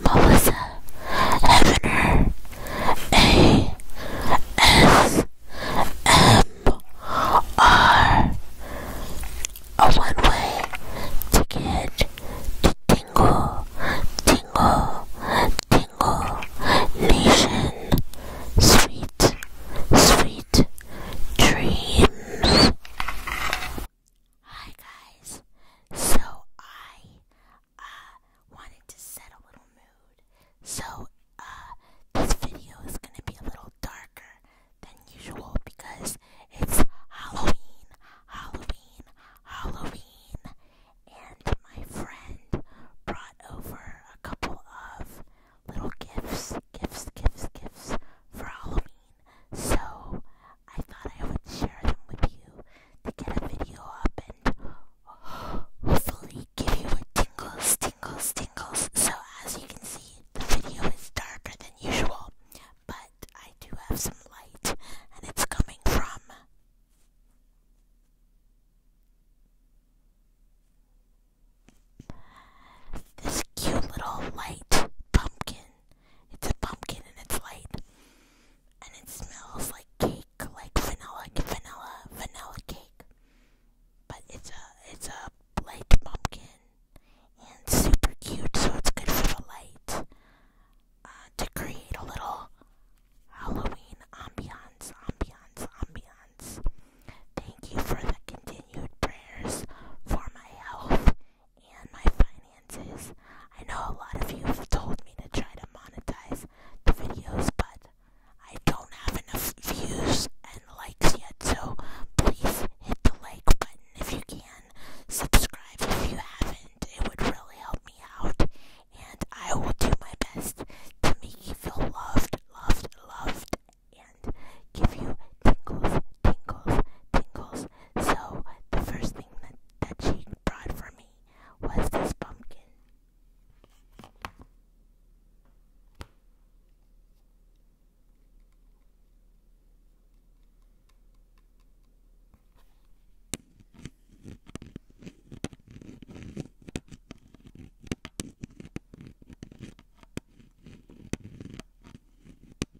Melissa Hefner A S M R a one-way ticket to Tingle Tingle Tingle Nation Sweet Sweet Dreams Hi guys. So I uh wanted to set a little mood. So uh, this video is going to be a little darker than usual because it's Halloween, Halloween, Halloween. And my friend brought over a couple of little gifts, gifts, gifts, gifts for Halloween so I thought I would share them with you to get a video up and hopefully give you a tingle, tingle, tingle. So as you can see, the video is darker than usual, but I do have some light, and it's coming from. This cute little light pumpkin it's a pumpkin and it's light. And it smells like cake, like vanilla, vanilla, vanilla cake. But it's a, it's a light pumpkin. And super cute, so it's good for the light. Uh, to create a little Halloween ambiance, ambiance, ambiance. Thank you for the continued prayers for my health and my finances. I know a lot of you have told me to try to monetize the videos, but I don't have enough views and likes yet, so please hit the like button if you can. Subscribe if you haven't, it would really help me out, and I will do my best to make you feel loved, loved, loved, and give you tingles, tingles, tingles. So, the first thing that she brought for me was this pumpkin.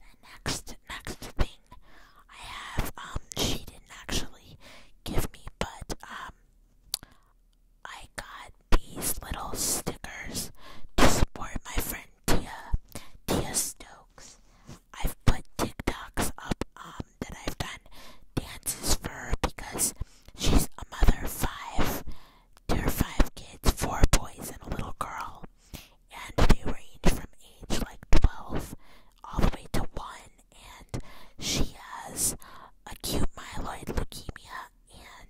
The next next thing I have, um, she didn't actually give me, but um, I got these little stickers to support my friend and Tia, Stokes. I've put TikToks up um, that I've done dances for because she's a mother of five. There are five kids, four boys and a little girl, and they range from age like 12 all the way to 1, and she has acute myeloid leukemia,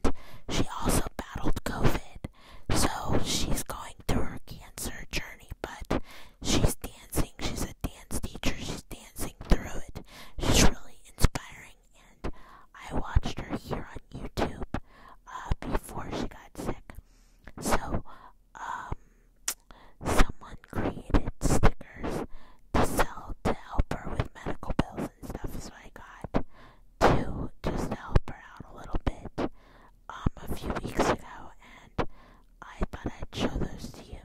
and she also battled COVID, so she's going through her cancer journey, but she's dancing. She's a dance teacher. She's dancing through it. She's really inspiring, and I watched her here on YouTube uh, before she got sick. So, um, someone created stickers to sell to help her with medical bills and stuff, so I got two just to help her out a little bit um, a few weeks ago, and I thought I'd show those to you.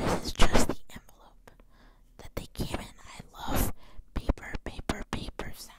This is just the envelope that they came in. I love paper, paper, paper sounds.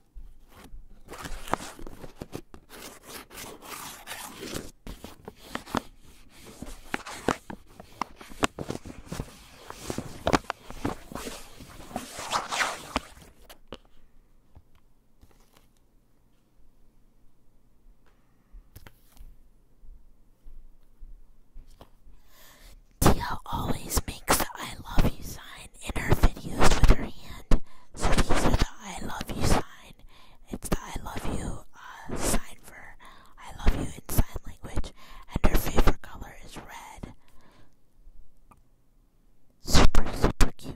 Tia always makes the I love you sign and in her videos with her hand. So these are the I love you sign. It's the I love you uh, sign for I love you in sign language. And her favorite color is red. Super, super cute.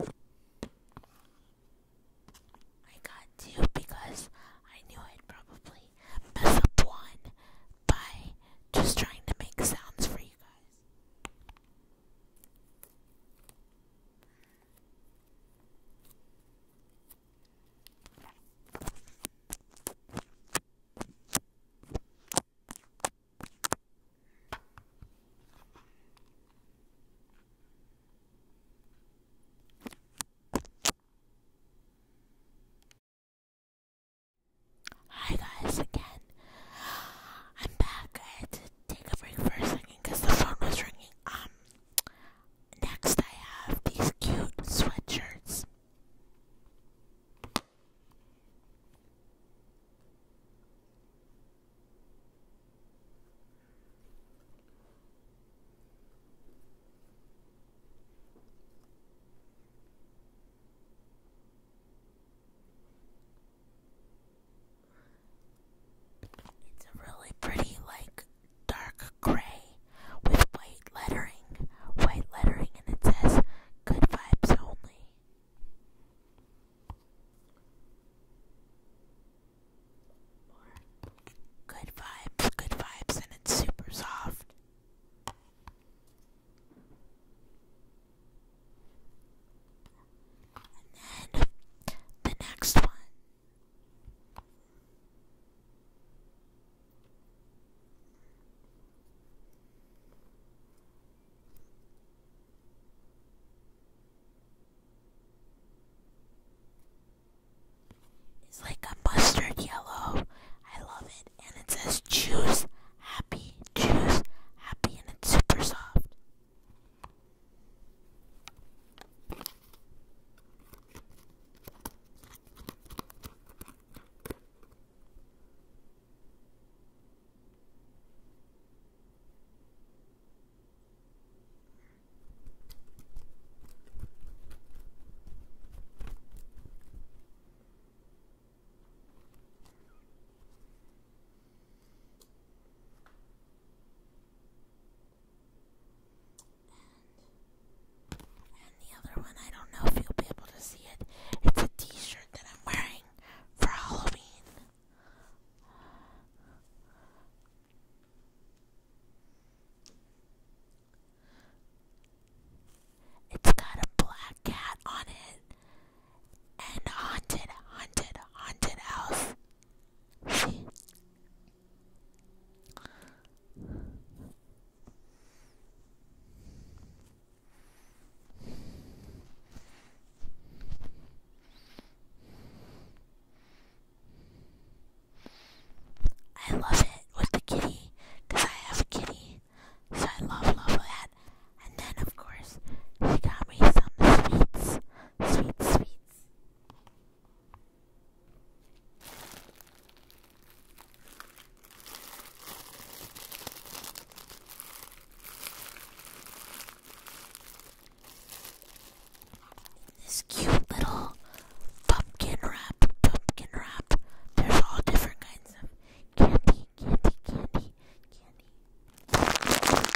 I got two because I knew I'd probably mess up one by just trying to make sounds for you guys. Hi guys again. I'm back. I had to take a break for a second because the phone was ringing. Um, next I have these cute sweatshirts. It's a really pretty, like, dark gray with white lettering. White lettering, and it says good vibes only good vibes, good vibes, and it's super soft. And then the next one. It's like a mustard yellow. I love it. And it says choose happy, choose happy, and it's super soft. And the other one, I don't know if you'll be able to see it. It's a t shirt that I'm wearing for Halloween. It's got a black cat on it and haunted, haunted, haunted house. See? I love it with the kitty, because I have a kitty. So I love, love that. And then, of course, she got me some sweets. sweets, sweets. This cute little pumpkin wrap, pumpkin wrap. There's all different kinds of candy, candy, candy, candy.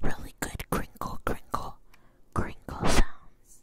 Really good crinkle, crinkle, crinkle sounds.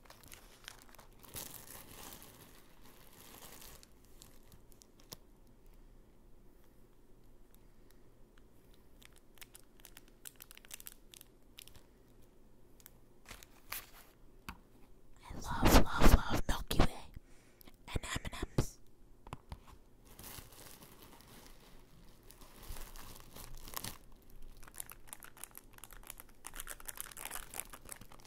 I love, love, love Milky Way and M&M's.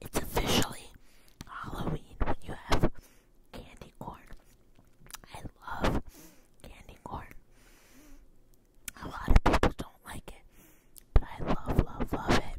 It's officially Halloween when you have candy corn. I love candy corn. A lot of people don't like it, but I love, love, love it.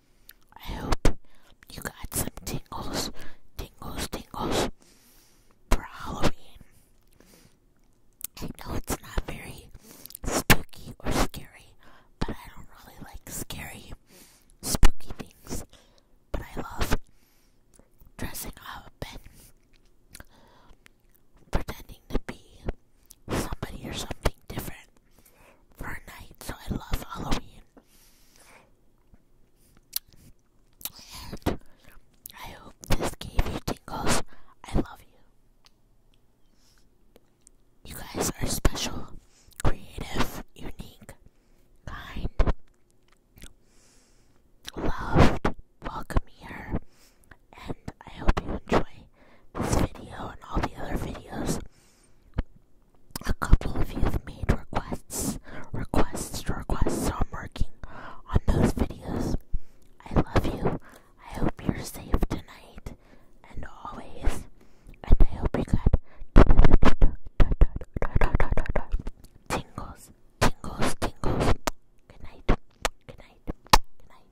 I hope you got some tingles, tingles, tingles for Halloween. I know it's not very spooky or scary, but I don't really like scary, spooky things. But I love dressing up and pretending to be somebody or something different for a night, so I love Halloween. And I hope this gave you tingles. I love you. You guys are special, creative, unique, kind, loved, welcome here, and I hope you enjoy this video and all the other videos a couple of you have made requests, requests, requests, so I'm working on those videos. I love you. I hope you're safe tonight and always. And I hope you got tingles, tingles, tingles. Good night. Good night. Good night.